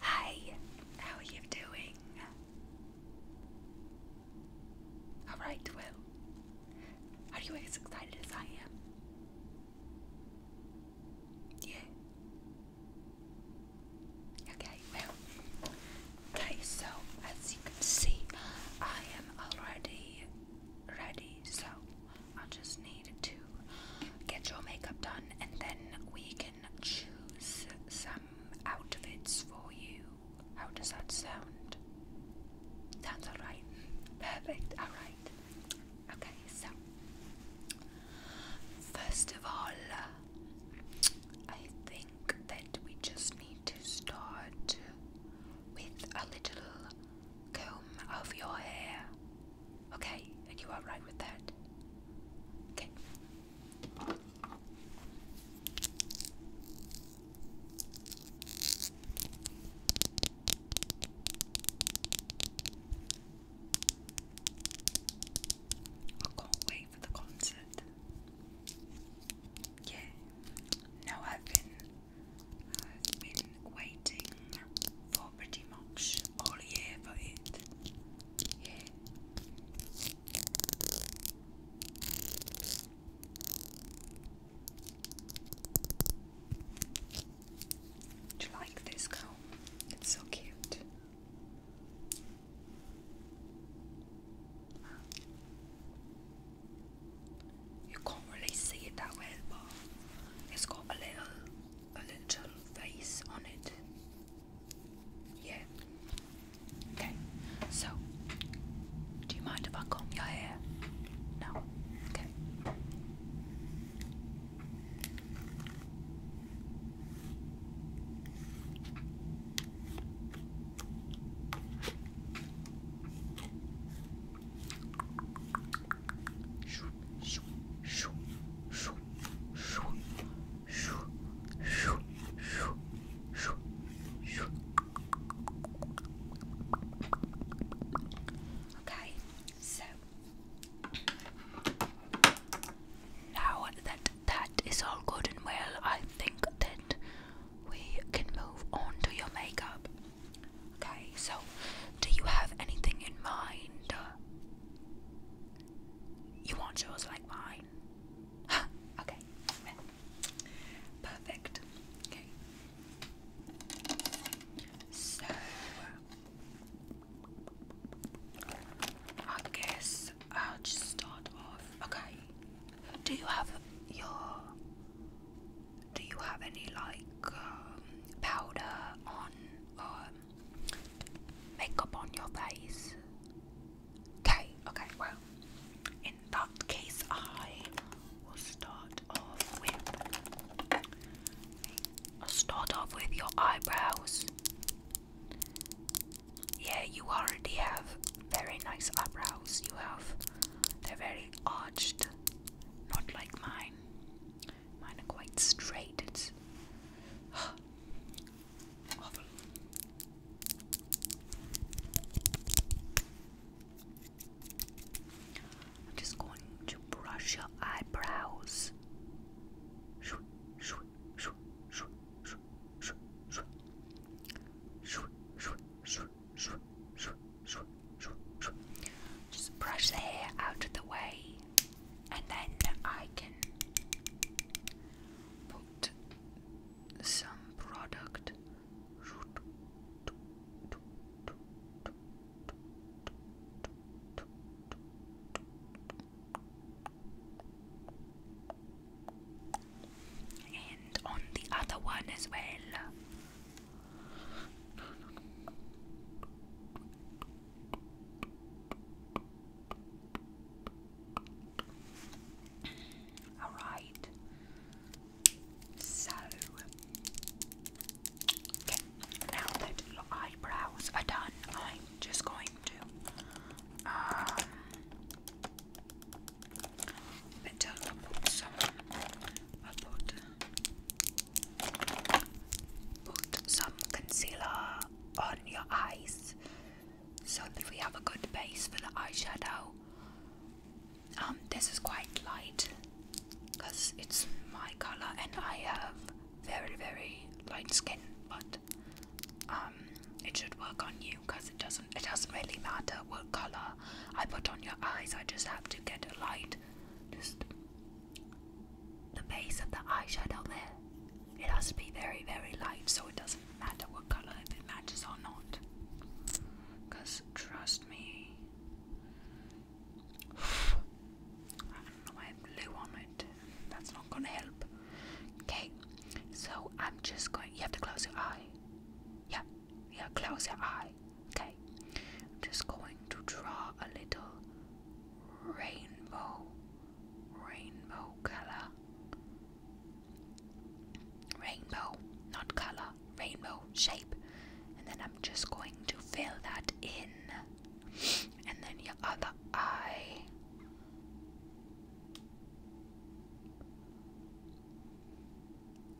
Hi, how are you doing? Alright, well, are you as excited as I am? Yeah. Okay, well, okay, so as you can see, I am already ready, so i just need to get your makeup done and then we can choose some outfits for you. How does that sound? Sounds alright. Perfect, alright. Okay, so first of all, I think that we just need to start with a little comb of your hair. Okay, and you are right with that. Okay. I can't wait for the concert. Yeah, now I've been, I've been waiting for pretty much all year for it. Do you like this comb? It's so cute. You can't really see it that well, but it's got a little a little face on it. Yeah. Okay. So, do you mind if I comb your hair? No. Okay. Okay, so now that that is all good and well, I think that we can move on to your makeup. Okay, so do you have anything in mind? You want yours like mine? okay. Perfect. So, I guess I'll just start off. Okay. Do you have your. Do you have any like um, powder on? Um, makeup on your face. Okay, okay, well, in that case, I will start off with. start off with your eyebrows. Yeah, you already have very nice eyebrows. You have, they're very arched, not like mine. Mine are quite straight. I'm just going to brush your eyebrows. Just brush the hair out of the way and then I can put some product and on the other one as well. Alright. So now that your eyebrows are done, I'm just going to um better i some i put Put some concealer on your eyes so that we have a good base for the eyeshadow. Um, this is quite light because it's my color and I have very very light skin, but um, it should work on you because it doesn't. It doesn't really matter what color I put on your eyes. I just have to get a light, just the base of the eyeshadow there. It has to be very, very light, so it doesn't matter what color if it matches or not. Because trust me, I don't know why I blew on it. That's not gonna help. Okay, so I'm just going. You have to close your eye. Yeah, yeah, close your eye. Okay, I'm just going to draw a little rainbow, rainbow color. Rainbow, not color, rainbow shape. And then I'm just going to fill that in. And then your other eye.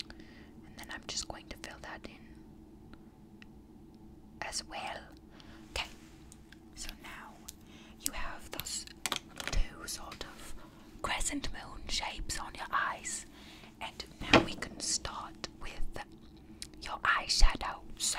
And then I'm just going to fill that in as well. Okay, so now you have those two sort of crescent moon shapes on your eyes, and now we can start with your eyeshadow. So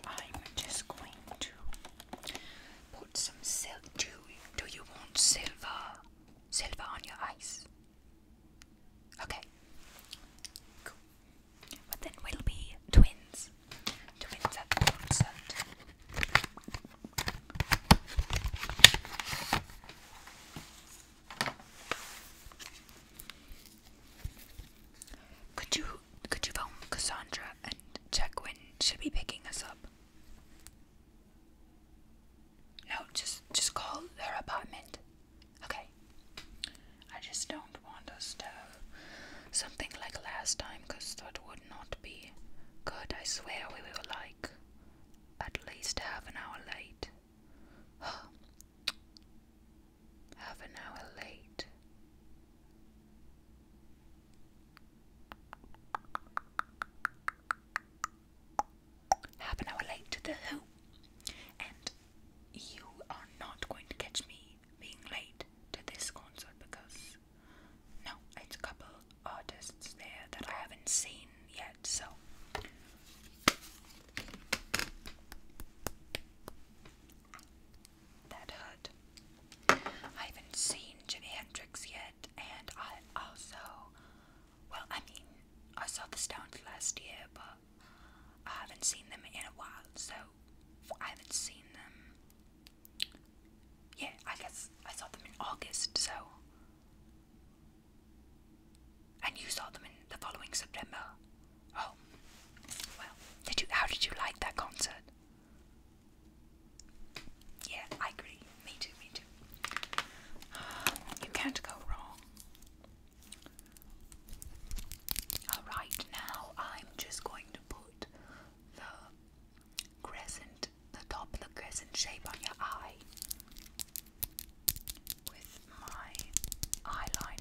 I'm just going to put some silk. Do, you want silver? Silver on your eyes? Okay. Cool. But then we'll be twins. Twins at the concert. Could you could you phone Cassandra and check when she'll be picking us up. No, just just call her apartment. Okay. I just don't want us to something like last time because that would not be good. I swear we were like at least half an hour late. half an hour late. Half an hour late to the hoop, and you are not going to catch me being late to this concert because no, it's a couple artists there that I haven't seen yet, so that hurt. I haven't seen Jimi Hendrix yet, and I also, well, I mean, I saw the Stones last year, but I haven't seen them in a while, so I haven't seen them. Yeah, I guess I saw them in August, so. And you saw them in the following September. Oh, well, did you? How did you like that concert? Yeah, I agree. Me too, me too. You can't go wrong. Alright, now I'm just going to put the crescent, the top the crescent shape on your eye with my eyeliner.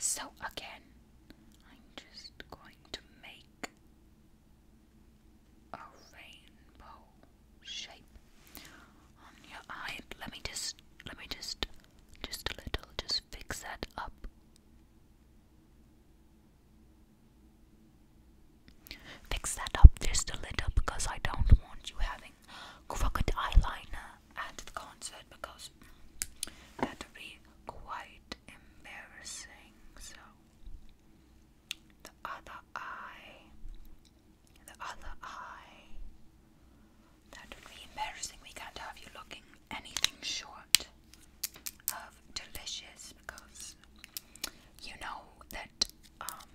So again, I'm just going to make a rainbow shape on your eye. Let me just, let me just, just a little, just fix that up. Fix that up just a little because I don't want you having crooked eyeliner at the concert because that would be quite embarrassing. So, the other eye, the other eye, that would be embarrassing. We can't have you looking anything short delicious because you know that um,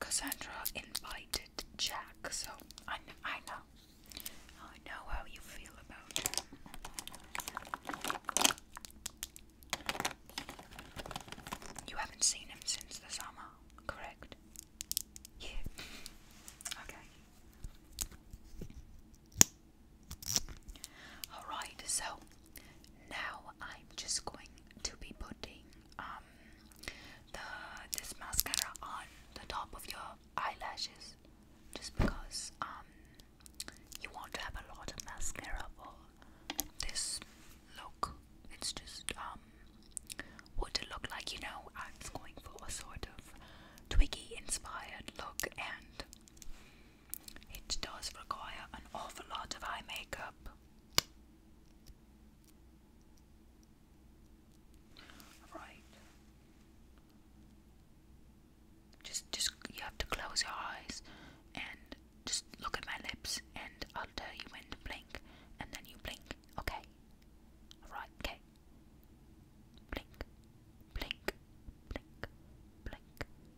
Cassandra invited Jack, so I I know, I know how you feel about it. You haven't seen him since the summer, correct? Yeah. Okay. Alright, so now I'm just going to be putting um the this mascara on the top of your eyelashes just because um you want to have a lot of mascara for this look. It's just um what it look like, you know, I'm going for a sort of Twiggy inspired look and it does require an awful lot of eye makeup. Right. Just just you have to close your eyes and just look at my lips and I'll tell you when to blink and then you blink. Okay. Alright, okay. Blink. Blink. Blink. Blink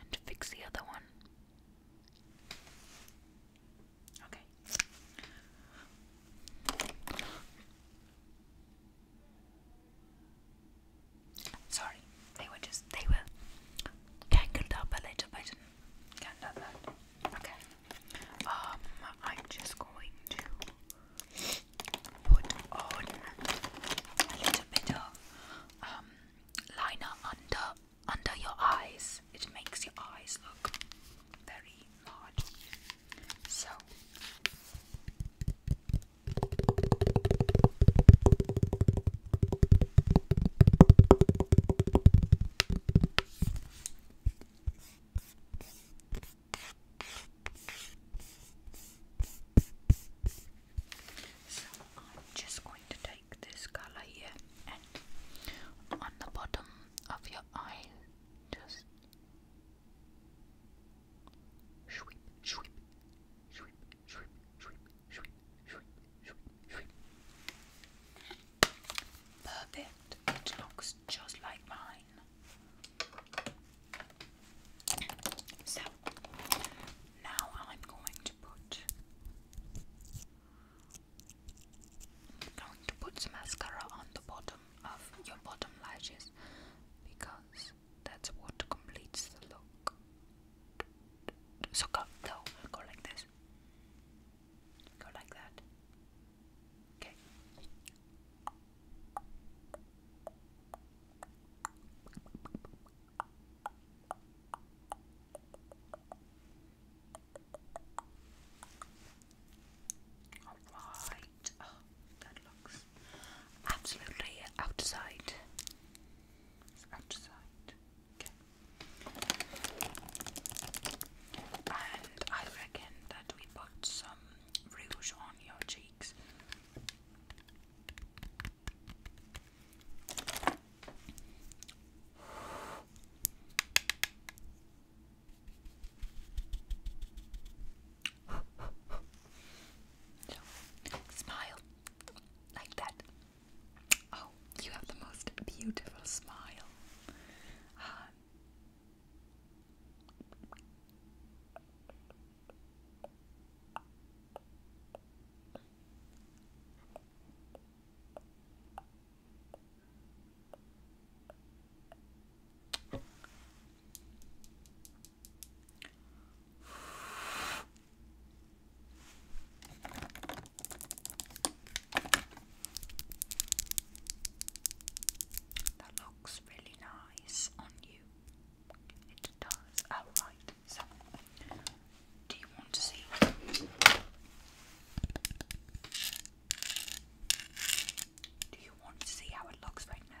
And fix the other one. Okay. Sorry, they were just they were tangled up a little bit Okay. Um I'm just going to put on a little bit of um, liner under under your eyes. It makes your eyes look very large. So so I'm just going to take this color here and on the bottom of your eye, just sweep, sweep, sweep, sweep, sweep, sweep, sweep, sweep, sweep. Perfect. It looks just like mine. So now I'm going to put going to put some mascara on the bottom of your bottom lashes because that's what completes the look. So go no, go like this. Go like that. Okay. Alright, oh, that absolutely outside. It's outside. Okay. And I reckon that we put some rouge on your cheeks smile like that. Oh, you have the most beautiful smile. That looks really nice on you. It does. Oh, So, do you want to see? Do you want to see how it looks right now?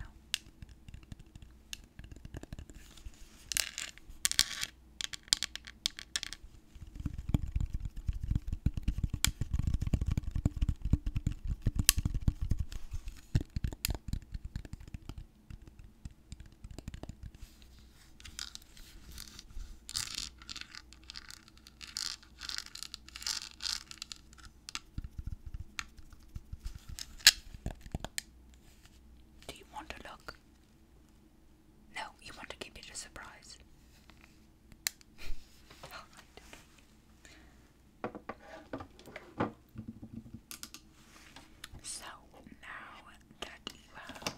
Do you want to look? No, you want to keep it a surprise. So now that you have,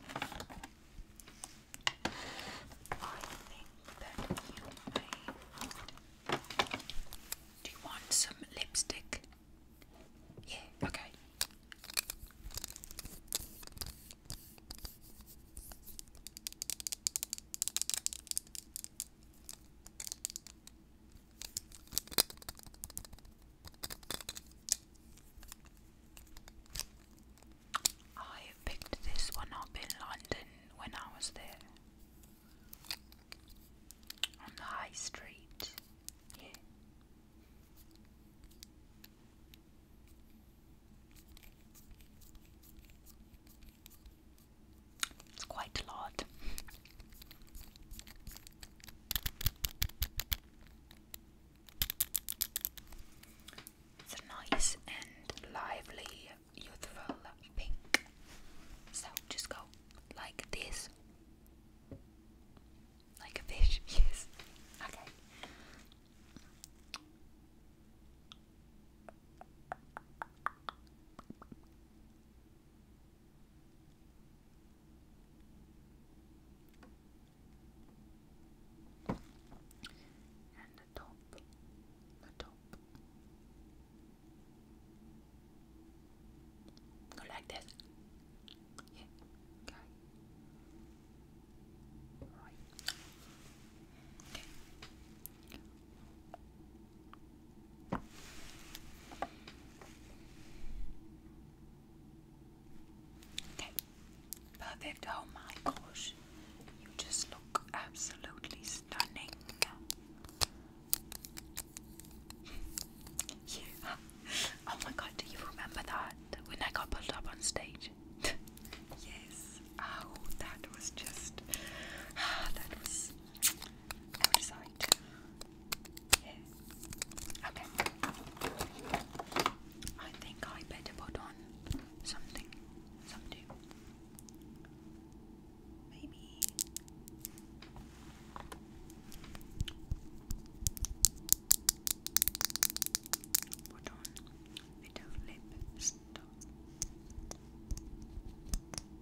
I think that you may. Do you want some lipstick? Yeah, okay. I picked this one up in London when I was there on the high street. Yeah. It's quite a lot. It's a nice and lively, youthful pink. So just go like this. Like a fish, yes. Okay. And the top, the top. Go like this. Okay. Right. Okay perfect. Oh my gosh, you just look absolutely stunning. Oh my god, do you remember that when I got pulled up on stage? yes. Oh, that was just. that was go Yeah. Okay. I think I better put on something. Something. Maybe. Put on a bit of lip stuff.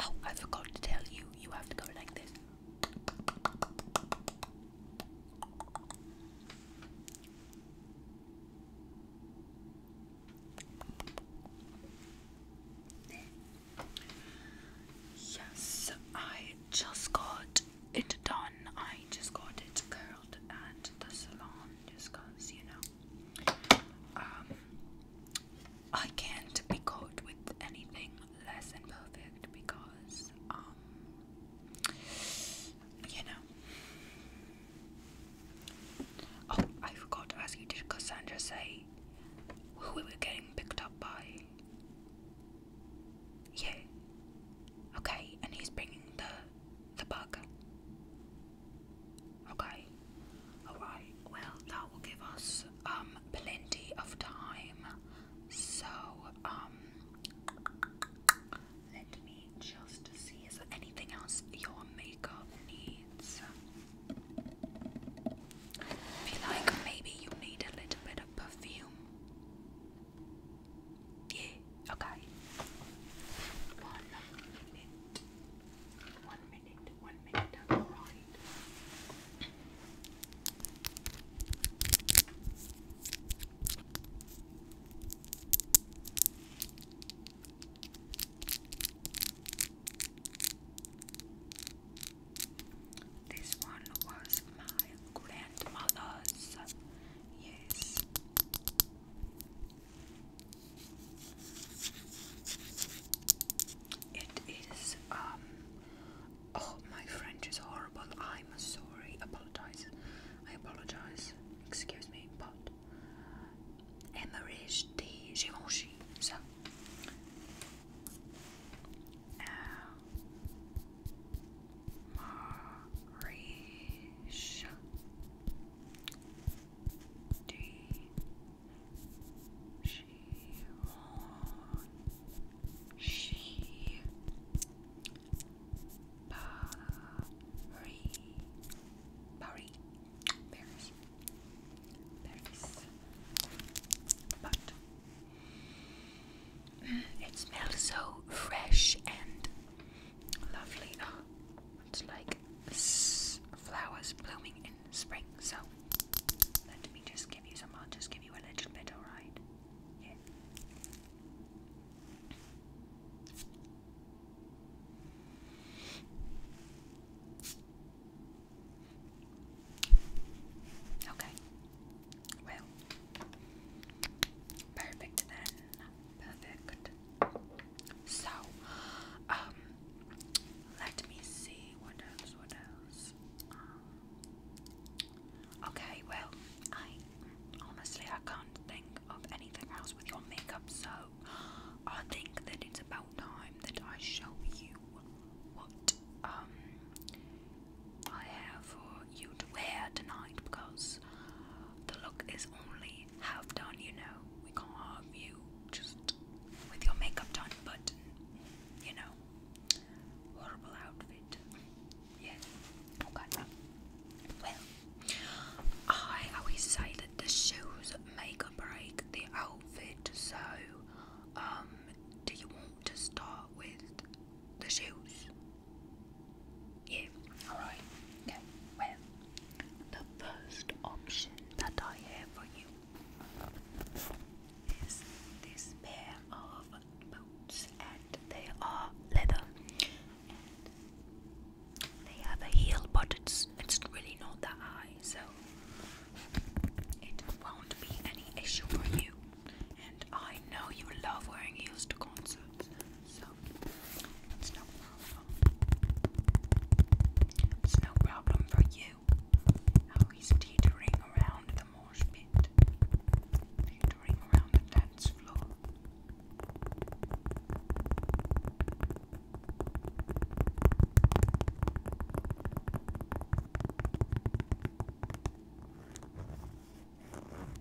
Oh, I forgot to tell you, you have to go like this. Yes, I just got it done. I just got it curled at the salon just because, you know, um, I can't be caught with anything less than because, um, you know. Oh, I forgot to ask you, did Cassandra say who we were getting picked up by? Yeah. Okay, and he's bringing the the bug. Okay. Alright, well that will give us um plenty of time. So, um let me just see is there anything else your makeup needs? I feel like maybe you need a little bit of perfume. Yeah. Okay. One minute. One minute. One minute. Alright. This one was my grandmother's. Yes. It is, um, oh, my French is horrible. I'm sorry. Apologize. I apologize. Excuse me, but Emerich de Givenchy. So, D she won she Paris Paris Paris Paris but it smells so fresh and lovely. Oh, it's like flowers blooming in spring. So let me just give you some. I'll just give you a little bit, alright? Okay. Well, perfect then. Perfect. So, um, let me see what else, what else. Um, okay, well, I honestly I can't think of anything else with your makeup, so I think that it's about time that I show you what um I have for you to wear tonight because the look is only have done, you know. We can't have you just with your makeup done, but you know, horrible outfit. Yes. Oh Well, I always say that the shoes make or break the outfit. So, um, do you want to start with the shoes? Yeah, alright. Okay, well, the first option that I have for you is this pair of boots, and they are leather. And they have a heel, but it's it's really not that high, so it won't be any issue for you. And I know you love wearing heels to concerts, so it's no problem. It's no problem for you. How he's teetering around the mosh pit, teetering around the dance floor.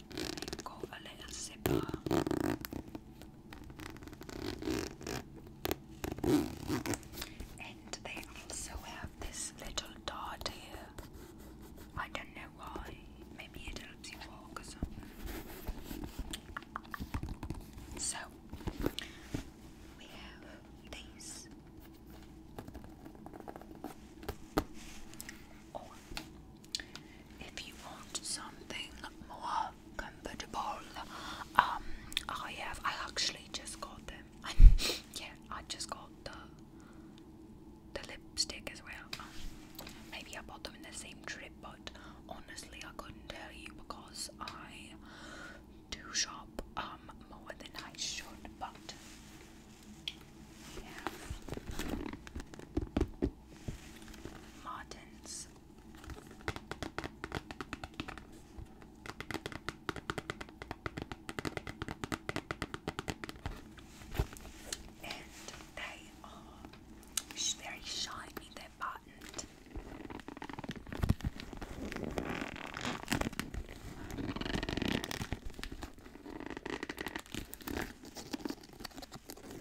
i a little zipper. And they also have this little dot here. I don't know why. Maybe it helps you walk or something. So we have these. Oh, if you want something more comfortable, um, I have. I actually just got them. yeah, I just got the the lipstick as well. Um, maybe I bought them in the same trip, but honestly, I couldn't tell you because I do shop um more than I should. But yeah. Martins. And they are very shiny, they're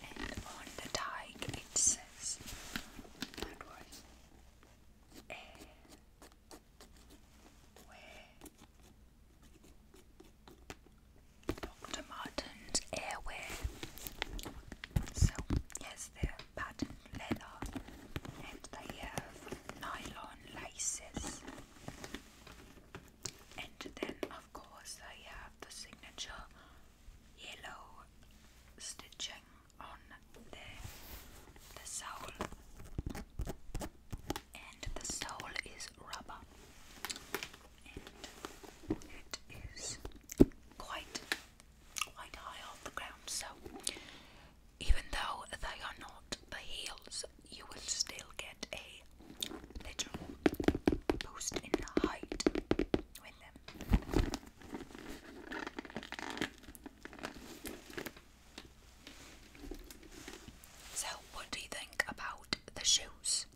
And on the tag it says that was a where Dr. Martin's Airwear. So, yes, they're patterned leather and they have nylon laces. And then, of course, they have the signature yellow stitching on their, the sole. And the sole is rubber it is quite quite high off the ground so even though they are not the heels you will still get a literal boost in height with them. So what do you think about the shoes?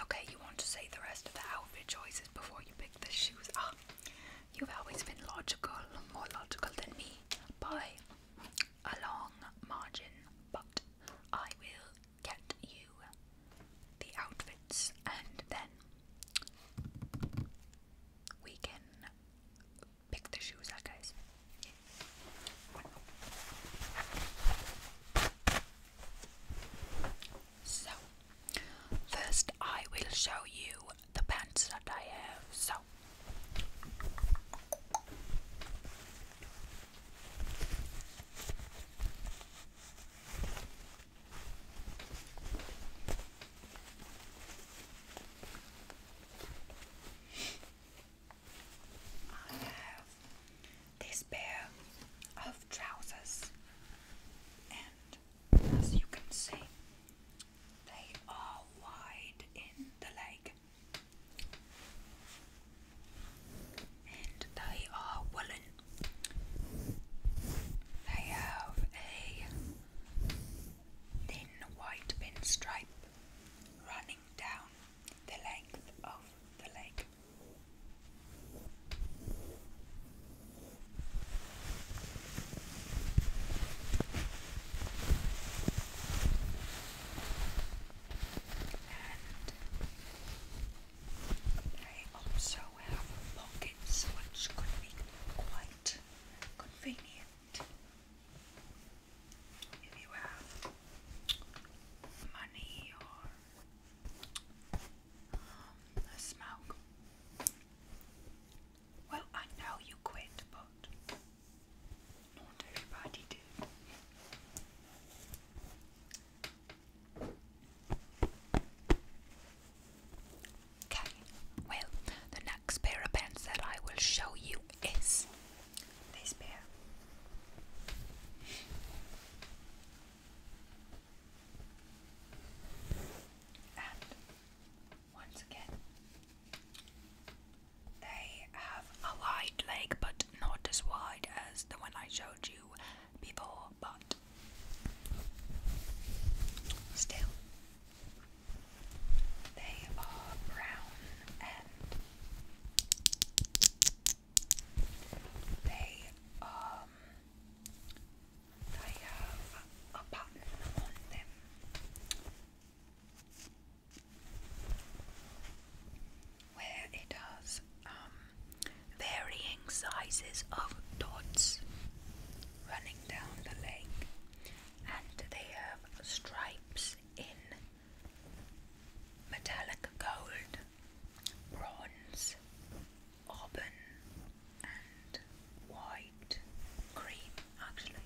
Okay, you want to say the rest of the outfit choices before you pick the shoes. Ah, you've always been logical, more logical than me, by a long margin, but I will get you the outfits and then we can pick the shoes up, guys. So, first I will show you the pants that I have. So, I have this pair of trousers, and as you can see, they are wide in the leg, and they are woolen. They have a thin white pinstripe running down the length of the leg. And they also have pockets which could be quite convenient if you have money or um, smoke. Well, I know you quit, but not everybody did. Okay, well, the next pair of pants that I will show you is this pair. And once again, they have a wide leg, but not as wide as the one I showed you before, but still, they are brown they um have a button on them. Where it has um, varying sizes of dots running down the leg, and they have stripes in metallic gold, bronze, auburn, and white, cream actually.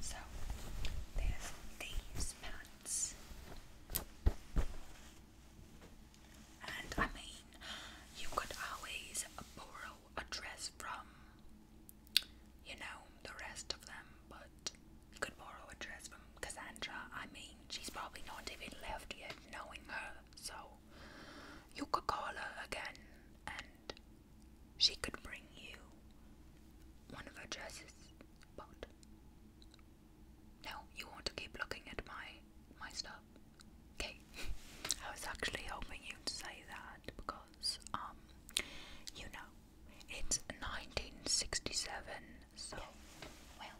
So there's these pants. And I mean, you could always borrow a dress from, you know, the rest of them, but you could borrow a dress from Cassandra. I mean, she's probably not even left yet knowing her, so you could call her again and she could bring you one of her dresses, but no, you want to keep looking at my my stuff. Okay. I was actually hoping you'd say that because um you know it's 1967 so well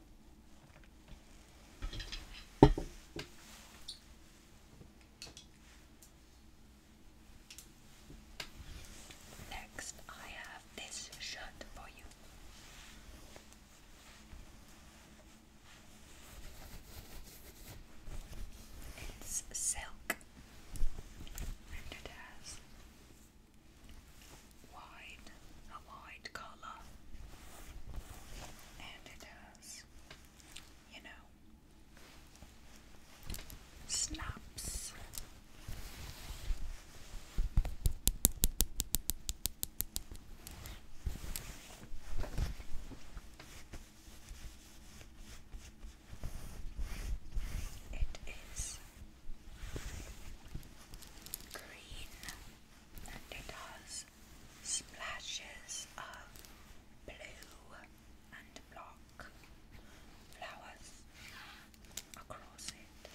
Next, I have this shirt for you. It's silk and it has wide, a wide collar and it has, you know, snaps it is green and it has splashes of blue and black flowers across it.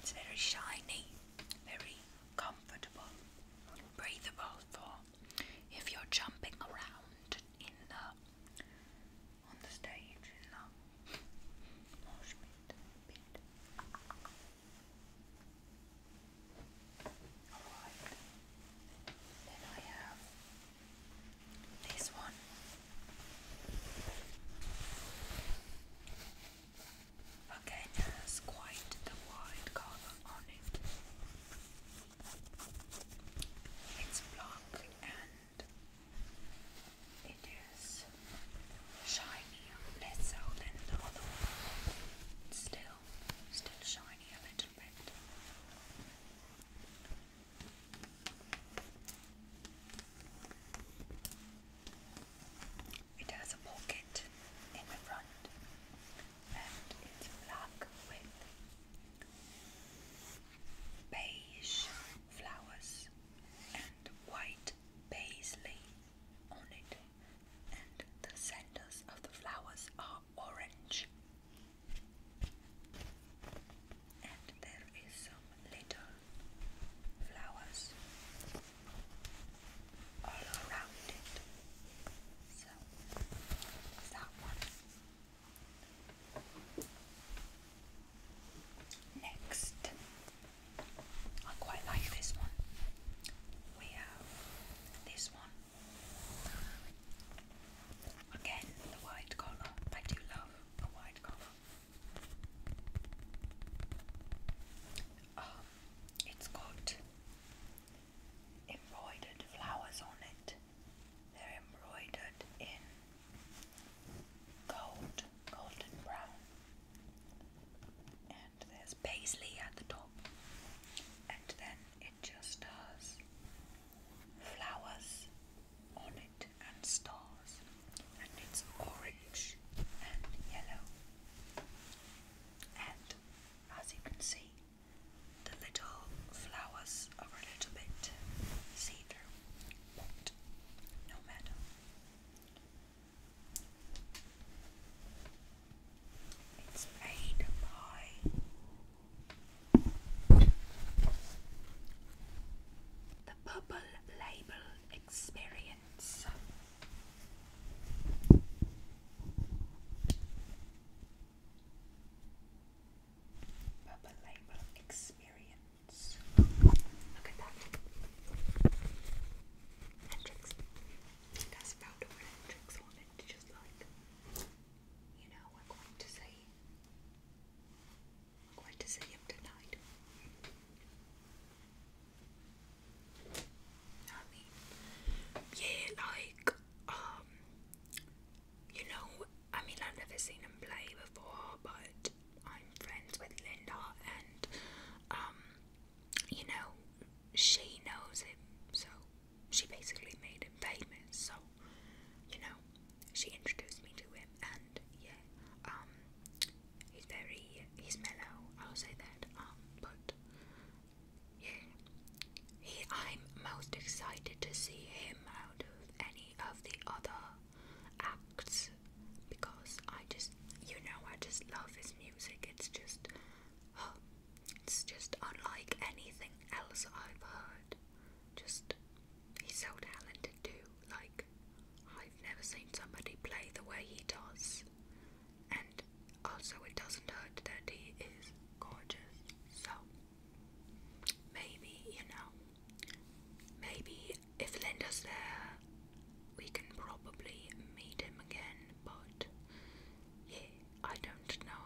It's very shiny, very comfortable, breathable for if you're jumping around in the on the stage in the this one. Again, has quite the white color on it. It's black and it is shinier, less so than the other one. still, still shiny a little bit. It has a pocket in the front and it's black with beige flowers and white paisley on it and the centers of the flowers are orange and there is some little flowers around it. So that one. Next, I quite like this one. We have this one. Again, the white collar I do love a wide collar. Um, it's got embroidered flowers on it. They're embroidered in gold, golden brown. And there's paisley at the top. And then it just has flowers on it and stars, and it's orange and yellow. And as you can see, the little flowers are a little bit see through, but no matter. It's made by the Purple Label Experience. Purple Label Experience. Look at that. Hendrix. You guys found a word Hendrix on it, just like, you know, we're going to say going to see him tonight. I yeah, like, um, you know, I mean, I've never seen him play before, but I'm friends with Linda, and, um, you know, she knows him, so she basically made him famous, so you know, she introduced me to him, and yeah, um, he's very, he's mellow, I'll say that, um, but yeah, he, I'm most excited to see him out of any of the other acts because I just, you know, I just love his music, it's just, oh, it's just unlike anything else I've heard just he's Helen to do Like I've never seen somebody play the way he does. And also it doesn't hurt that he is gorgeous. So maybe, you know, maybe if Linda's there we can probably meet him again, but yeah, I don't know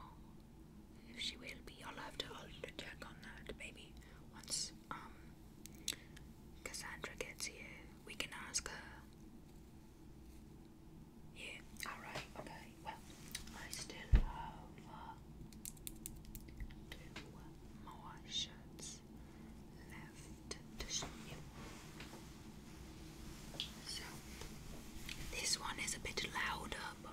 if she will be. I'll have to I'll check on that maybe once um, Cassandra gets here. We can ask her. Yeah, alright, okay. Well, I still have uh, two more shirts left to show So, this one is a bit louder, but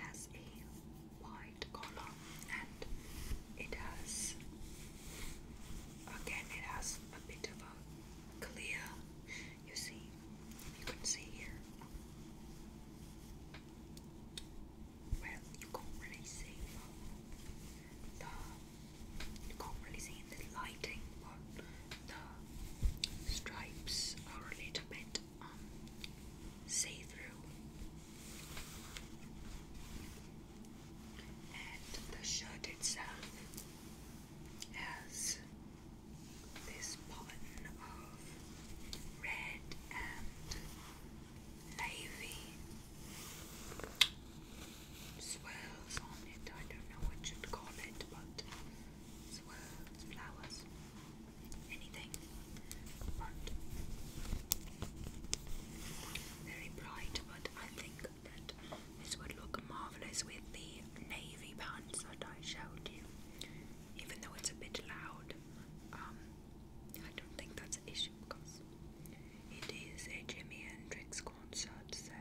has a white color and it has again it has a bit of a clear you see you can see here well you can't really see the you can't really see the lighting but the stripes are a little bit um, see through. And the shirt itself has this pattern of red and navy swirls on it. I don't know what you'd call it, but swirls, flowers anything but very bright but I think that this would look marvellous with the navy pants that I showed you even though it's a bit loud um, I don't think that's an issue because it is a Jimi Hendrix concert so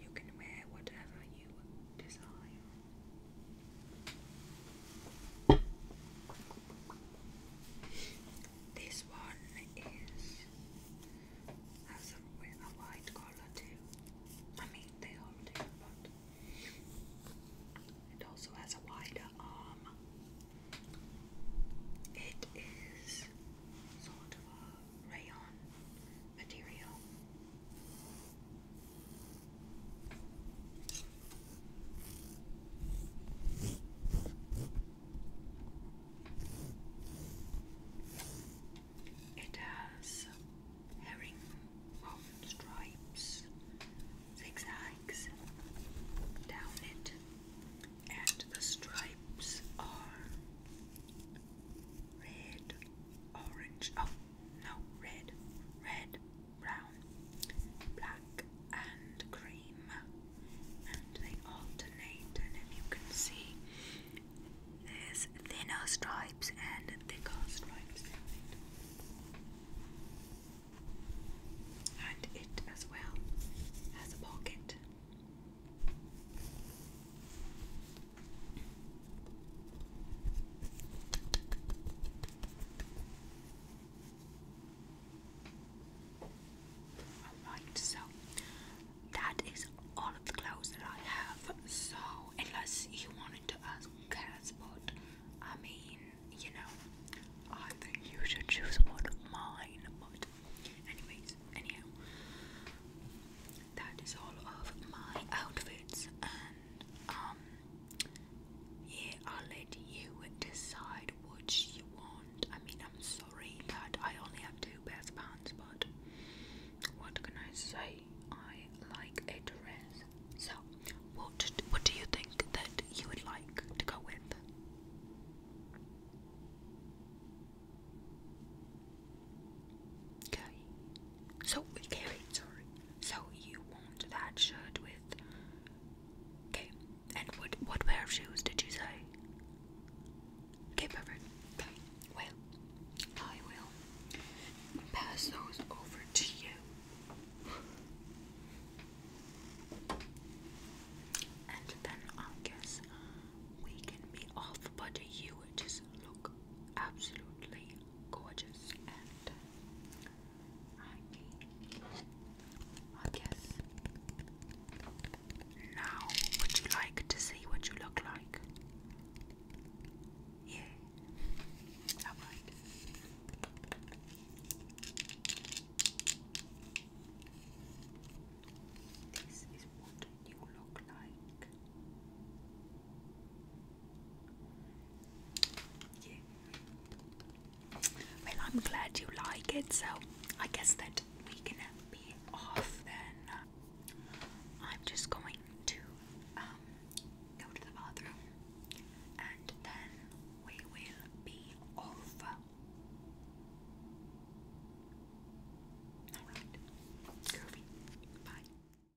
you can wear whatever you desire. This one is has a, a white color too. I mean, they all do, but it also has a wider arm. It is sort of a rayon material. It has herring of stripes, zigzags down it, and the stripes are red, orange, oh, no, red, red, brown, black, and cream, and they alternate. if you can see, there's thinner stripes and thicker stripes. And it as well has a pocket. Alright, so that is all of the clothes that I have. So, unless you wanted to ask but I mean, you know, I think you should choose one of mine. But, anyways, anyhow, that is all of my outfits um, yeah, I'll let you decide what you want. I mean, I'm sorry that I only have two pairs of pants, but what can I say? I like a dress. So, what what do you think that you would like to go with? Okay. So, Carrie, sorry. So you want that shirt with. Okay. And what what pair of shoes did you say? Okay, perfect. Okay. Well, I will pass those over to you. And then I guess we can be off, but you just look absolutely gorgeous and I guess now would you like to see what you look like? Yeah. Alright. This is what you look like. Well, I'm glad you like it, so I guess that we can be off then. I'm just going to um, go to the bathroom and then we will be off. Alright, groovy. Bye.